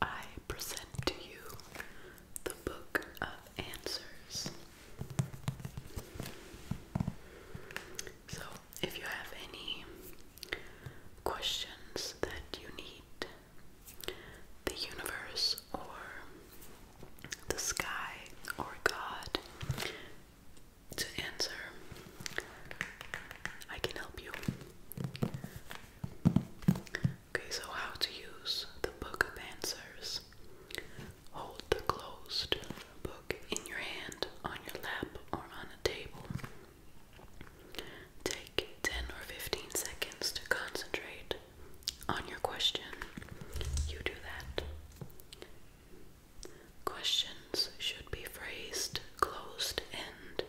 I present to you the Book of Answers. So, if you have any questions that you need the universe or the sky or God to answer. I can help you. Okay, so how to use the book of answers. Hold the closed book in your hand, on your lap, or on a table. Take 10 or 15 seconds to concentrate on your question. You do that. Questions should be phrased closed end.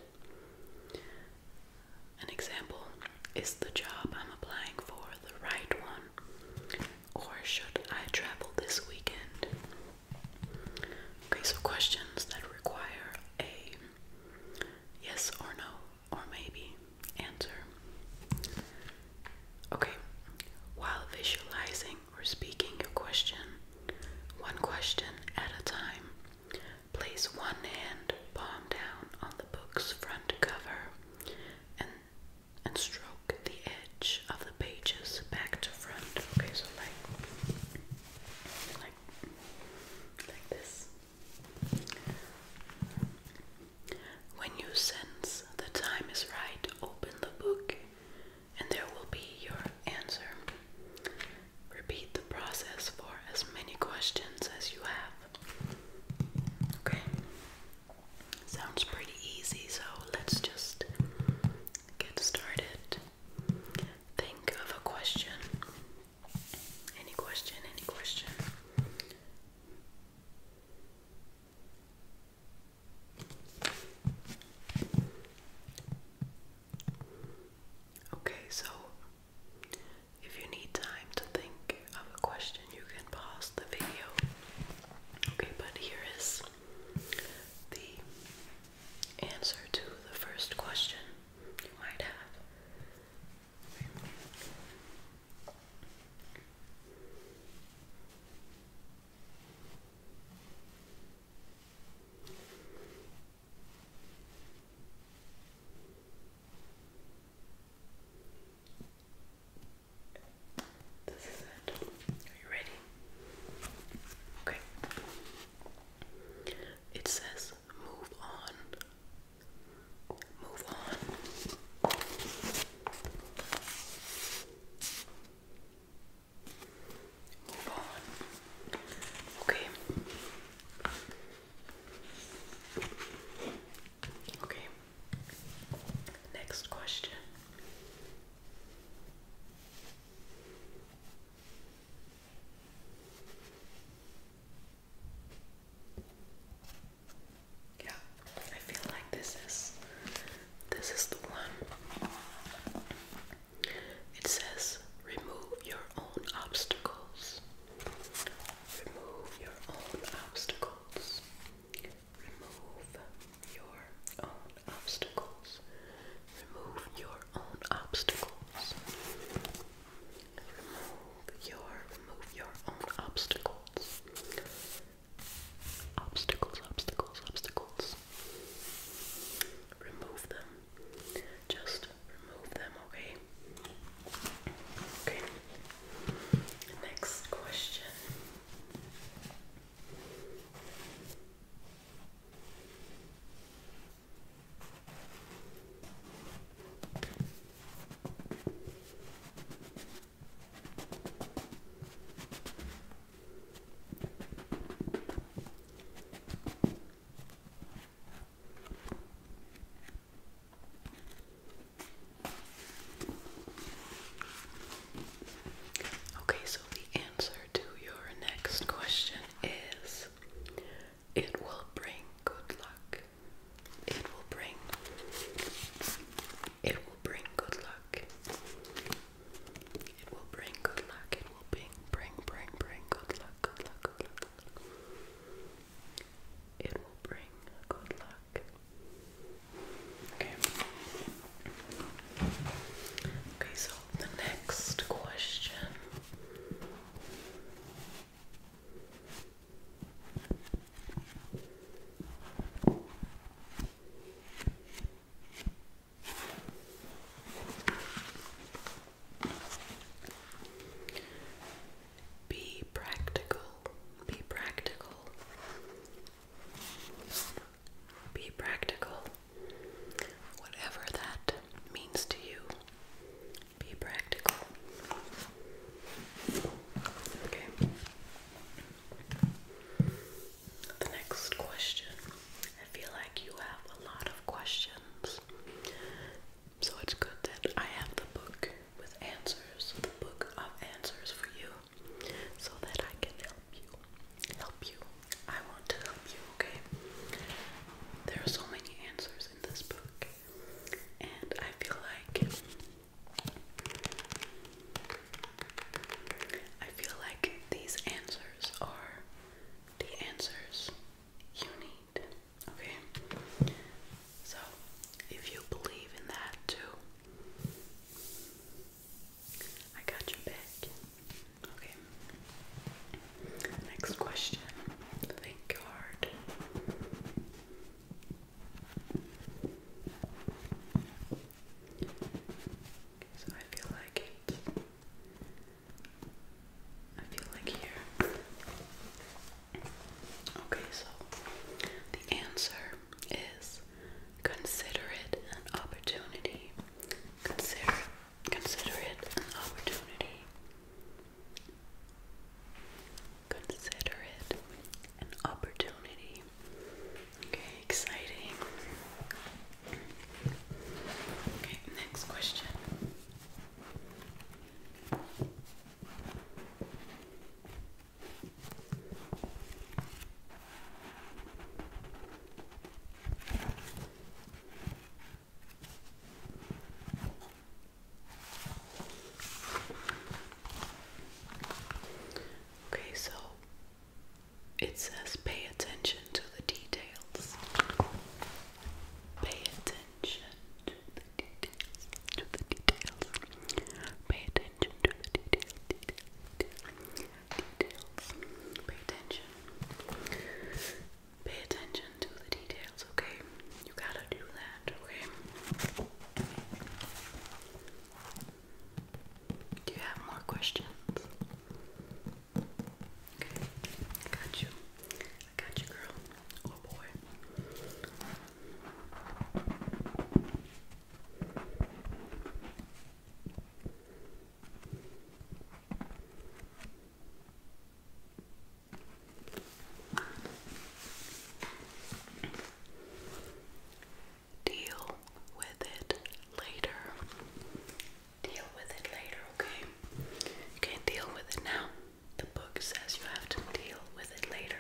An example is the job I'm applying for the right one? Or should I travel this weekend? Okay, so questions that require a yes or no or maybe answer. Okay, while visualizing we're speaking your question one question at a time. Place one hand palm down on the book's front cover and and stroke the edge of the pages back to front. Okay, so like like like this. When you sense the time is right, open the book and there will be your answer. Repeat the process for as many questions as you have. Okay? Sounds pretty easy, so let's just get started. Think of a question. Any question, any question. Okay, so if you need time to think of a question, you can pause the video. Okay, but here is the answer to the first question you might have it. Are you ready? Okay. It says move on. Move on. Move on. Okay. Okay. Next question. Yeah, I feel like this is this is the one. It says, remove your own obstacles. Remove your own obstacles. Remove your own obstacles. Remove your own obstacles. Remove your remove your own obstacles. Obstacles, obstacles, obstacles ends. Remove them. Just remove them, okay? Okay. Next question. Okay, so the answer to your next question is it will bring good luck. It will bring it will bring good luck. It will bring good luck. It will bring, bring, bring, bring good luck, good luck, good luck, It will bring good luck. Okay. Okay, so the next question. Be practical. Be practical. Be practical. Whatever that means to you, be practical. Okay. The next question. I feel like you have a lot of questions. So it's good that I have the book with answers, the book of answers for you, so that I can help you. Help you. I want to help you, okay? There are so many answers in this book, and I feel like I feel like these answers are the answers you need. Okay? So, if you believe in that too, I got your back. Okay. Next question. Think hard. So I feel like it I feel like here. Okay, so the answer is consider it an opportunity. Consider consider it an opportunity. Consider it an opportunity. Okay, exciting. Okay, next question. Okay, so it says pay attention to the details. Pay attention to the details. To the details. Pay attention to the details. Details. Details. Pay attention. Pay attention to the details, okay? You gotta do that, okay? Do you have more questions? Okay, I got you. I got you, girl. Oh boy. Deal with it later deal with it later, okay? You can't deal with it now. The book says you have to deal with it later.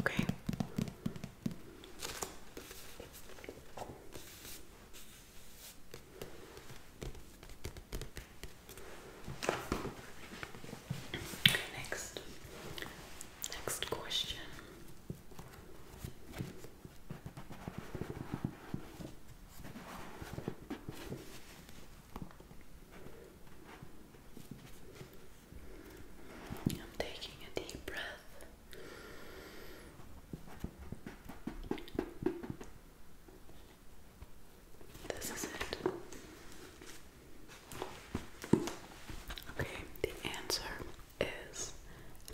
Okay. Okay, next. Next question. I'm taking a deep breath. This is it. Okay, the answer is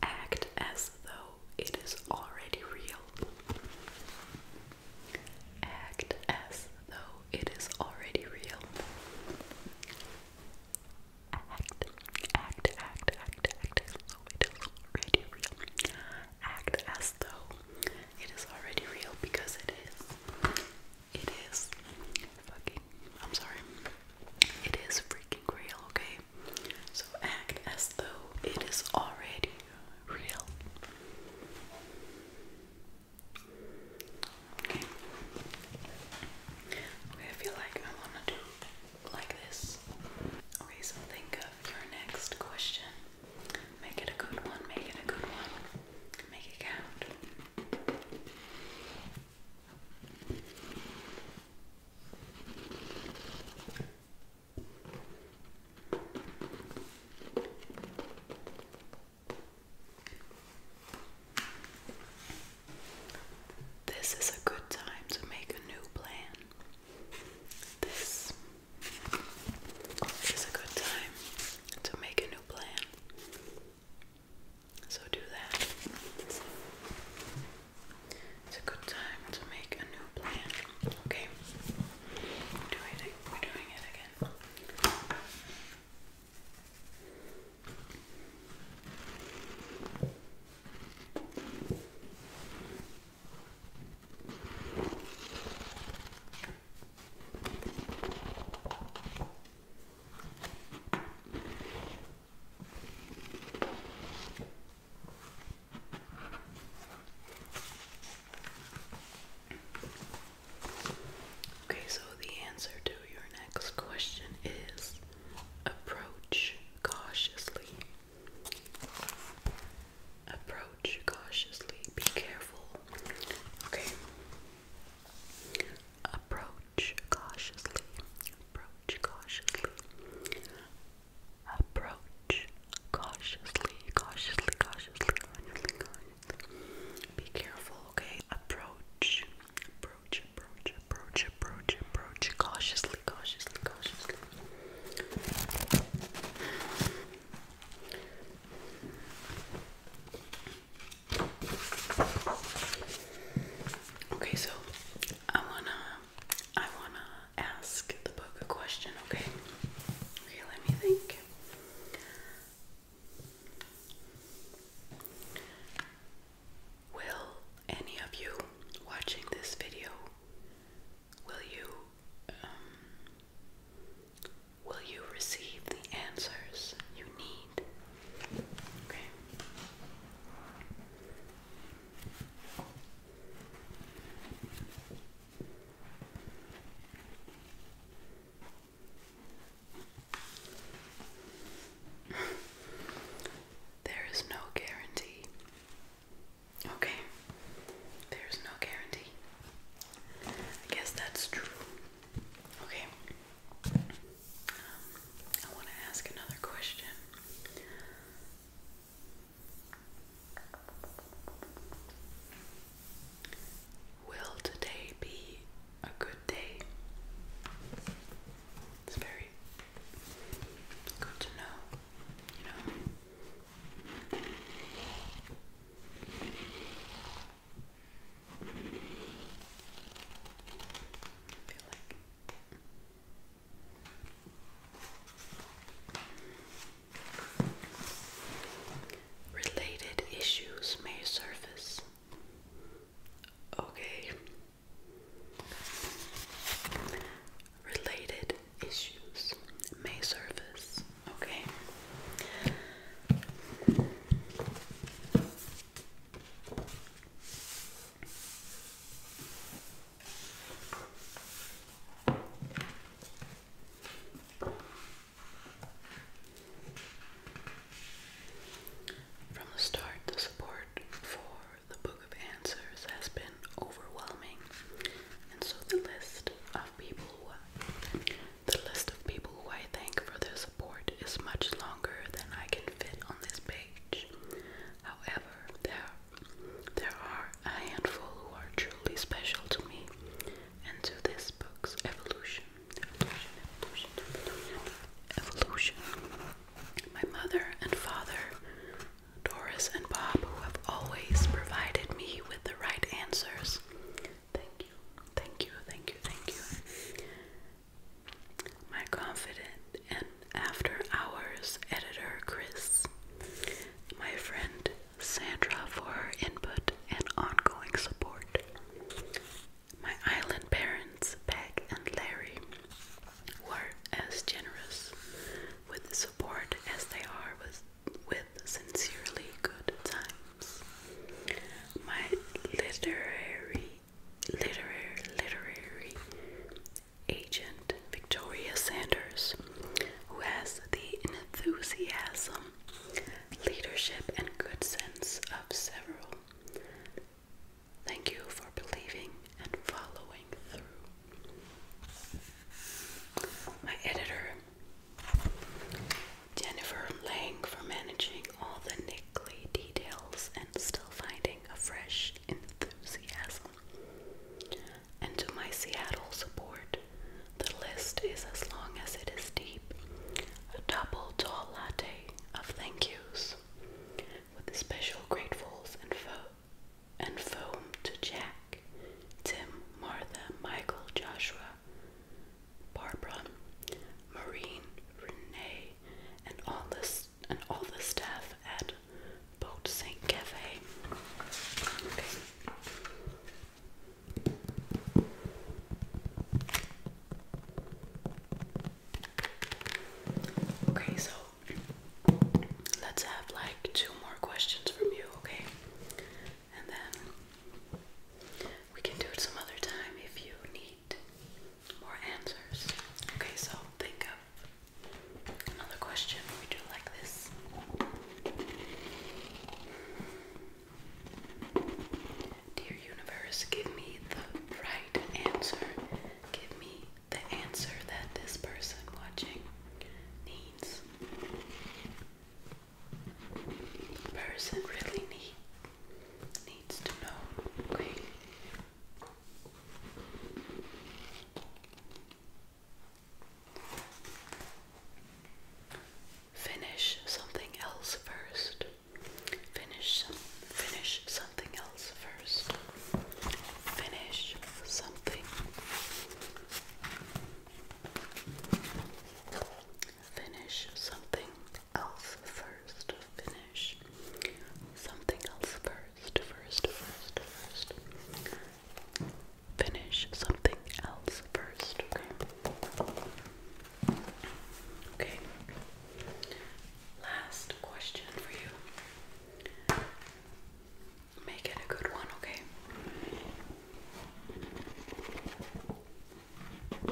act as though it is already real. Act as though it is already real. Act, act, act, act, act as though it is already real. Act as though it is already real because it is. It is fucking. I'm sorry. It is freaking real, okay? So act as though it is already real. Okay. Okay, I feel like I wanna do like this. Okay, so think of your next question. Make it a good one, make it a good one. Make it count. This is a good time to make a new plan. This is a good time to make a new plan. So do that. It's a good time to make a new plan. Okay. We're doing it. We're doing it again. Okay, so the answer to your next question is approach cautiously. Approach cautiously. Be careful. Okay. Approach cautiously. Approach cautiously. Approach cautiously, cautiously, cautiously, cautiously, Be careful, okay? Approach, approach, approach, approach, approach, approach, cautiously, cautiously, cautiously. Okay, so I wanna I wanna ask the book a question, okay? Okay, let me think. Will any of you watching this video will you um, will you receive the answers you need? there is no guarantee. Okay. There's no guarantee. I guess that's true. Okay. I want to ask another question. Will today be a good day? It's very good to know, you know. Related issues may surface. Okay. Related issues may surface. Okay. From the start, the support for the Book of Answers has been overwhelming, and so the list of people the list of people who I thank for their support is much longer than I can fit on this page. However, there, there are a handful who are truly special to me and to this book's evolution. Evolution, evolution, evolution. My mother and father, Doris and Bob, who have always provided me with the right answers. Thank you, thank you, thank you, thank you. My confidant and after hours editor Chris, my friend Sandra for input and ongoing support, my island parents Peg and Larry were as generous with support as they are with, with sincerely good time. My literary, literary, literary agent, Victoria Sanders, who has the enthusiasm, leadership, and good sense of several. Thank you for believing and following through. My editor, Jennifer Lang for managing all the niggly details and still finding a fresh enthusiasm. And to my Seattle support, the list is as long as it is deep. A double tall latte of thank yous, with special gratefuls and foam and foam to Jack, Tim, Martha, Michael, Joshua, Barbara, Maureen, Renee, and all this and all the staff at Boat Saint Cafe. Okay. Okay, so let's have like two more questions from you, okay? And then we can do it some other time if you need more answers. Okay, so think of another question. We do like this. Dear universe, give me the right answer. Give me the answer that this person watching needs. person really needs needs to know. Finish something else first. Finish finish something else first. Finish something. Finish something else first finish. Something else first, first, first, first. Finish something else first, okay? Okay. Last question for you. Make it a good one, okay? The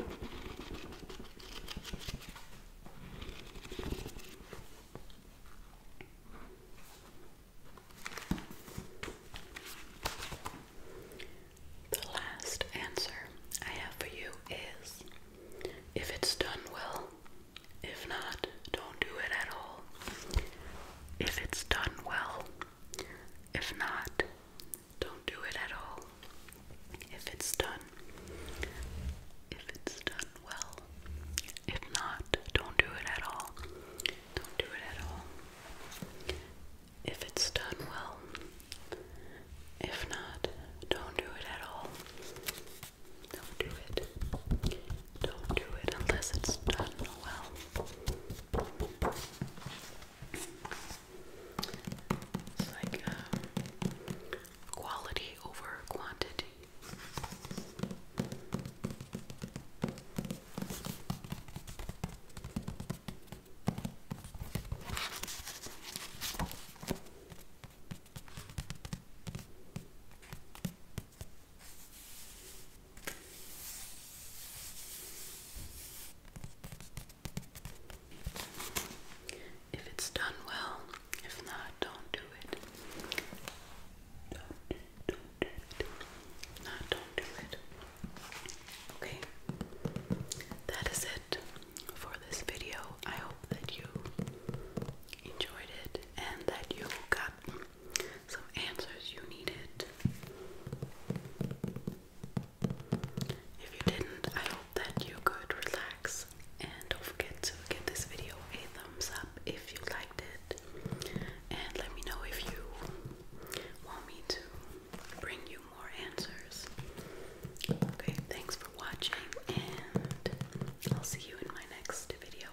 last answer I have for you is if it's done well, if not, don't do it at all. If it's done well, if not, don't do it at all. If it's done, if it's done well. If not, don't do it at all. Don't do it at all. If it's done well. If not, don't do it at all. Don't do it. Don't do it unless it's done well. It's like um, quality over quantity. If it's done well, if not, don't do it. Don't, do it. Not, don't do it. Okay, that is it for this video. I hope that you enjoyed it and that you got some answers you needed. If you didn't, I hope that you could relax. And don't forget to give this video a thumbs up if you liked it. And let me know if you want me to bring you more answers. Okay, thanks for watching, and I'll see you in my next video.